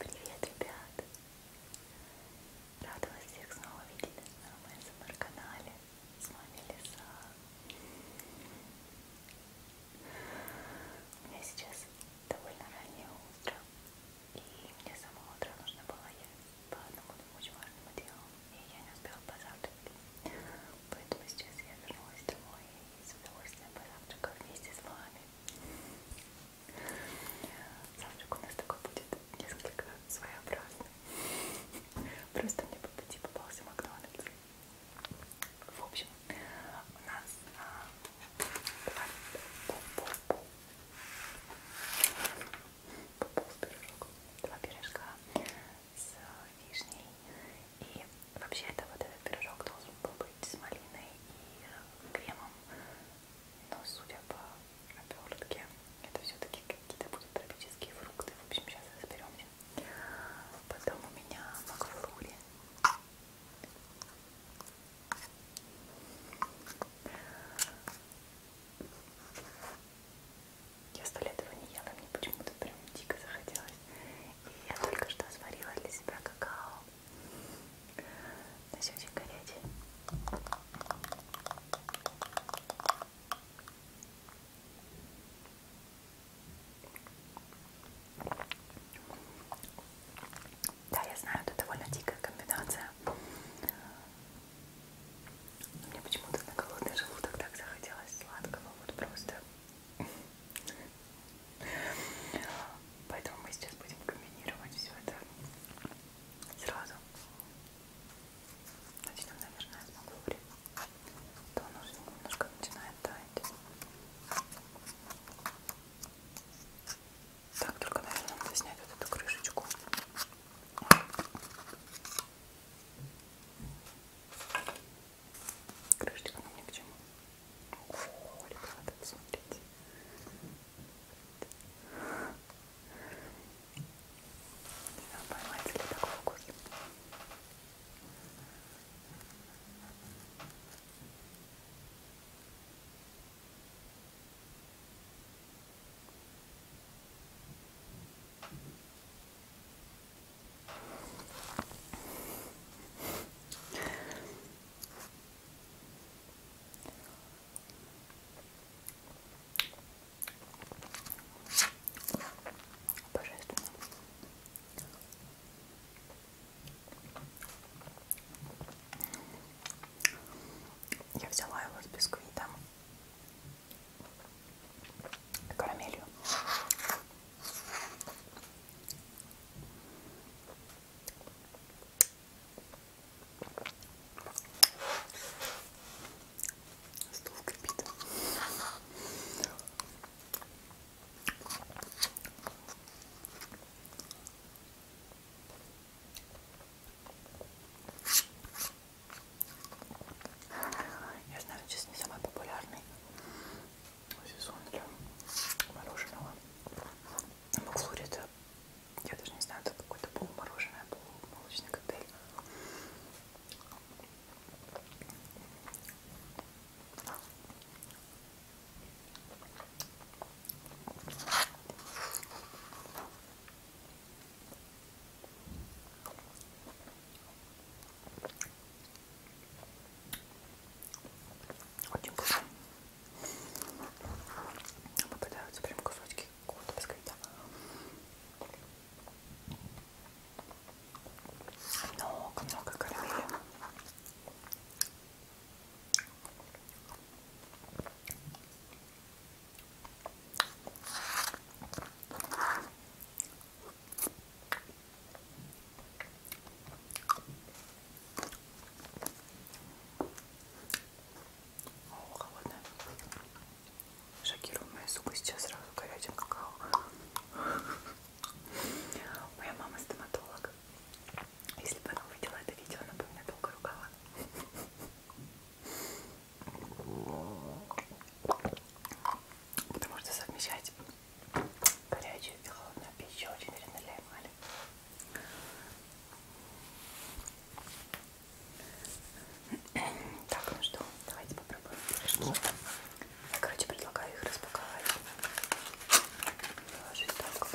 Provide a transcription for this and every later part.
Привет, ребят! Рада вас всех снова видеть на моем СМР-канале. С вами Лиса. У меня сейчас довольно раннее утро, и мне с самого утра нужно было я по одному очень важному делу, и я не успела позавтракать. Поэтому сейчас я вернулась домой и с удовольствием позавтракаю вместе с вами. Завтрак у нас такой будет несколько своеобразный. Просто мне по пути попался Макдональдс. В общем, у нас а, два пирожка с вишней. И вообще-то вот этот пирожок должен был быть с малиной и кремом вам. Но судя по обертке, это все-таки какие-то будут тропические фрукты. В общем, сейчас разберемся. Потом у меня макфрули. Я сто лет его не ела, мне почему-то прям дико захотелось. И я только что сварила для себя какао. Носючек горячий. Да, я знаю, это довольно дикая комбинация. Но мне почему-то на голодный желудок так захотелось сладкого, вот просто Поэтому мы сейчас будем комбинировать все это сразу. Начнем, наверное, с макулы. То он уже немножко начинает таять. Так, только, наверное, надо снять вот эту крышечку. Крышечка нам ни к чему. О, ребята, смотрите. Поймаете ли такой вкус? Божественно. Я взяла его с бисквитом и карамелью. Стол крепит. Я знаю, сейчас не самый популярный сезон для мороженого. Макфлури ну, это, я даже не знаю, это какое-то полумороженое, полумолочный коктейль. Очень вкусно. Попадаются прям кусочки какого-то бисквита. Много-много карамели. О, холодная. Шокирует моя сука сейчас сразу горячим какао. Моя мама стоматолог. Если бы она увидела это видео, она бы меня долго ругала. Потому что совмещать горячую и холодную пищу очень вредно для эмали. Так, ну что, давайте попробуем пирожки. Я, короче, предлагаю их распаковать. Положить так.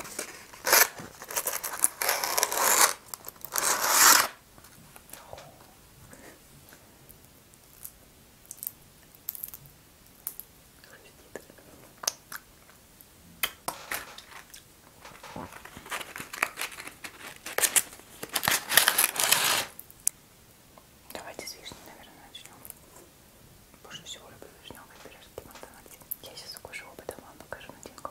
Давайте с вишни, наверное, начнем. Больше всего люблю вишневый пирожки в Макдональдсе. Я сейчас укушу оба, дам а вам покажу начинку.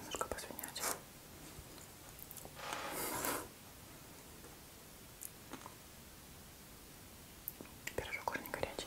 Немножко посвинять. Пирожок очень горячий.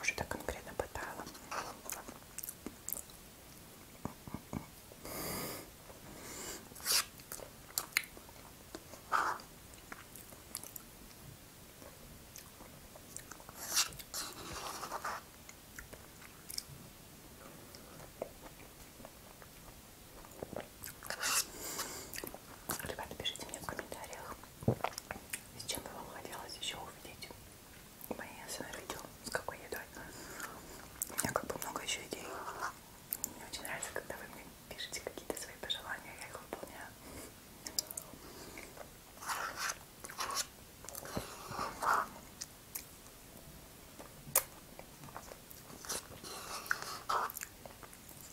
Уже так конкретно пытала. Ребята, пишите мне в комментариях, с чем бы вам хотелось еще увидеть мои СНР-видео, с какой едой. У меня как бы много еще идей. Мне очень нравится, когда вы мне пишете какие-то свои пожелания, я их выполняю.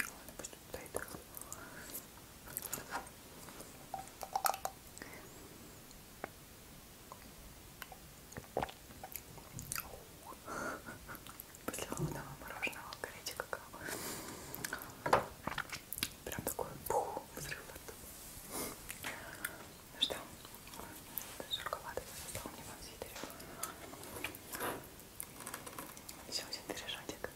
Ладно, пусть стоит. После холодного мороженого горячий какао. Прям такой пух, взрыв от Ну что, жарковато, я достала мне консидер. Еще один пирожочек.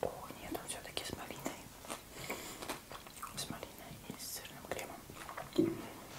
О, нет, он все-таки с малиной. С малиной и с сырным кремом.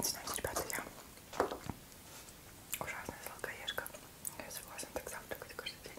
Знаете, ребята, я ужасная сладкоежка. Я согласна так завтракать каждый день.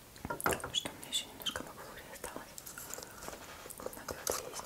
Что у меня еще немножко макулы осталось. Надо это есть.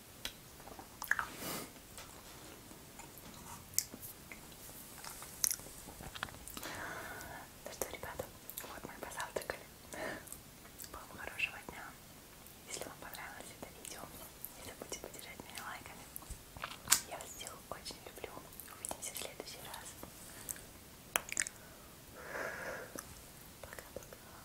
Ну что, ребята, вот мы и позавтракали. Вам хорошего дня. Если вам понравилось это видео, не забудьте поддержать меня лайками. Я вас всех очень люблю. Увидимся в следующий раз. Пока-пока.